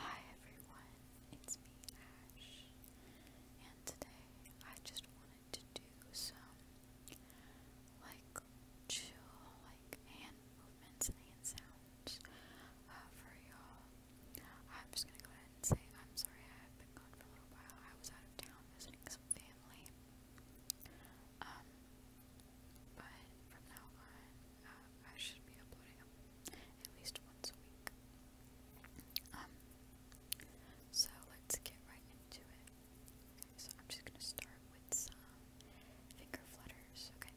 Hi everyone, it's me Ash, and today I just wanted to do some like chill, like hand movements and hand sounds uh, for y'all. I'm just gonna go ahead and say I'm sorry I've been gone for a little while. I was out of town visiting some family. Um, but from now on, I should be uploading them at least once a week. Um, so let's get right into it. so I'm just gonna start with some finger flutters, Okay,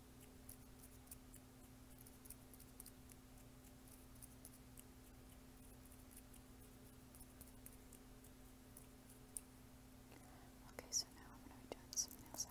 Okay, so now I'm going to be doing some nail sounds.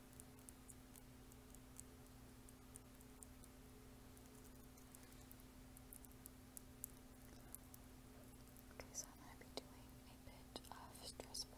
Okay, so I'm going to be doing a bit of stress ball.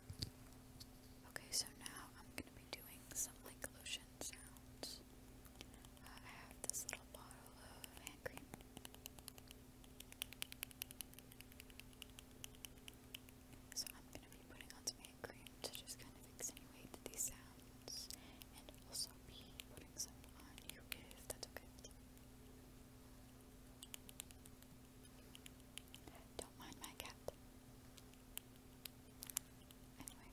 Okay, so now I'm going to be doing some like lotion sounds. Uh, I have this little bottle of hand cream. So I'm going to be putting on some hand cream to just kind of extenuate these sounds and also be putting some on you if that's okay. Okay. Don't mind my cat. Anyway.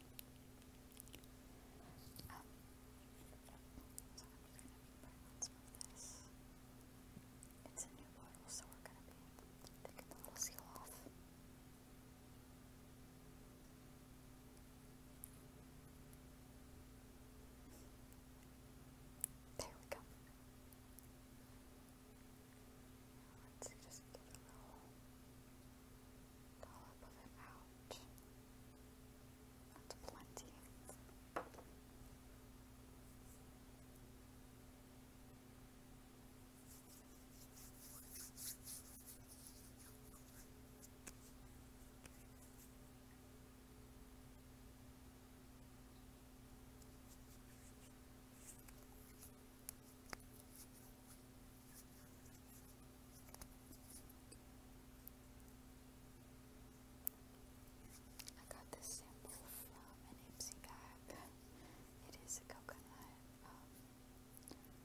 Um, so I'm going to be putting some of this. It's a new bottle, so we're going to be taking the little seal off. There we go. Let's just get a little dollop of it out. That's plenty. I got this sample from an Ipsy bag. It is a coconut, um,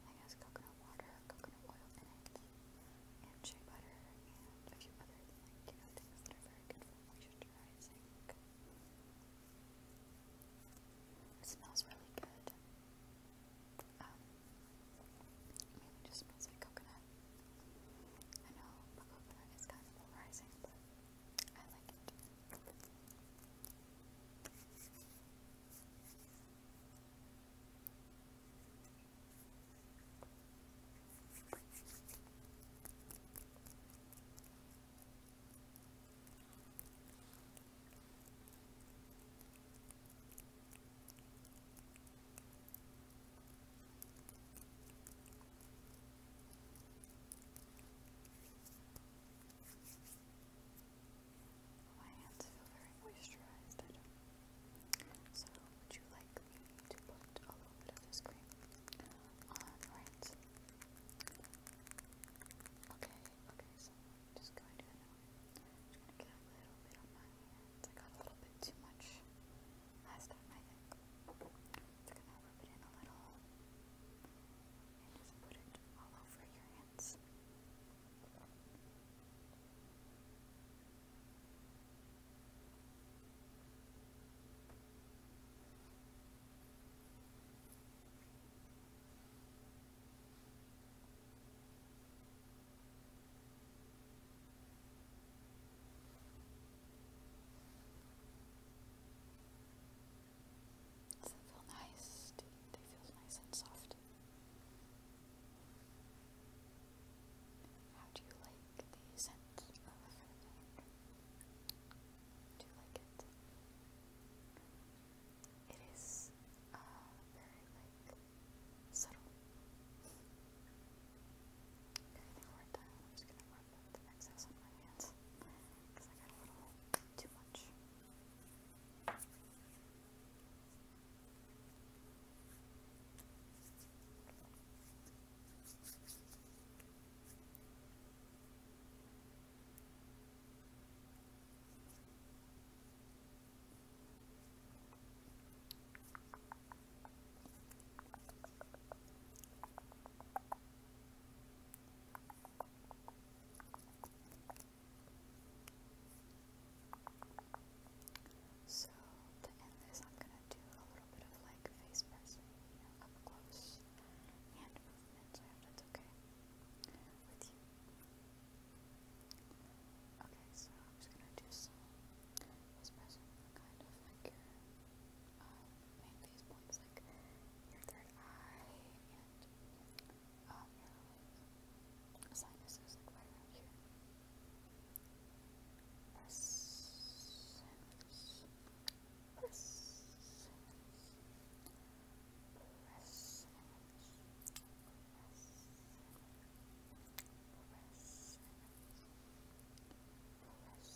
I guess coconut water, coconut oil and shea butter, and a few other you things that are very good for moisturizing. It smells really good. Um, just smells like coconut. I know coconut is kind of polarizing, but I like it. My hands feel very moisturized. so, would you like to put a little bit of this cream on uh, right Okay, okay, so just going to, i a little bit on my hands. I got a little bit too much last time, I going to rub it in a little and just put it all over your hands. Does that feel nice? Do you, feel nice and soft? How do you like the scent do like it? It is uh, very like subtle. Okay, I think we I'm just gonna rub the excess on my hands because I got a little too much. So, to end this, I'm going to do a little bit of like face pressing, you know, up close minutes, okay you. Okay, so I'm just gonna do some kind of like your, uh, main these points, like your third eye and, um, your, sinuses, right here. Presence. Presence. Presence. Presence.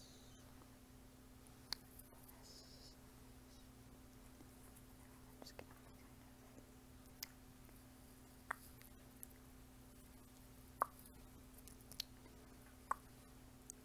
Presence.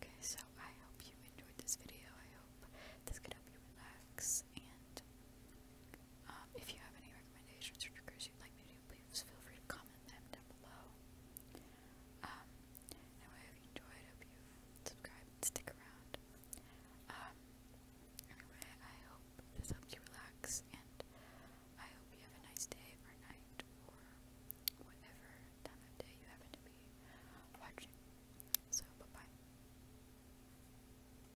Okay, so I hope you enjoyed this video. I hope this could help you relax and um, if you have any recommendations or triggers you'd like me to do, please feel free to comment them down below. anyway, um, if you enjoyed, hope you subscribe stick around. Um, anyway, I hope this helps you relax, and I hope you have a nice day or night or whatever time of day you happen to be watching. So, bye bye.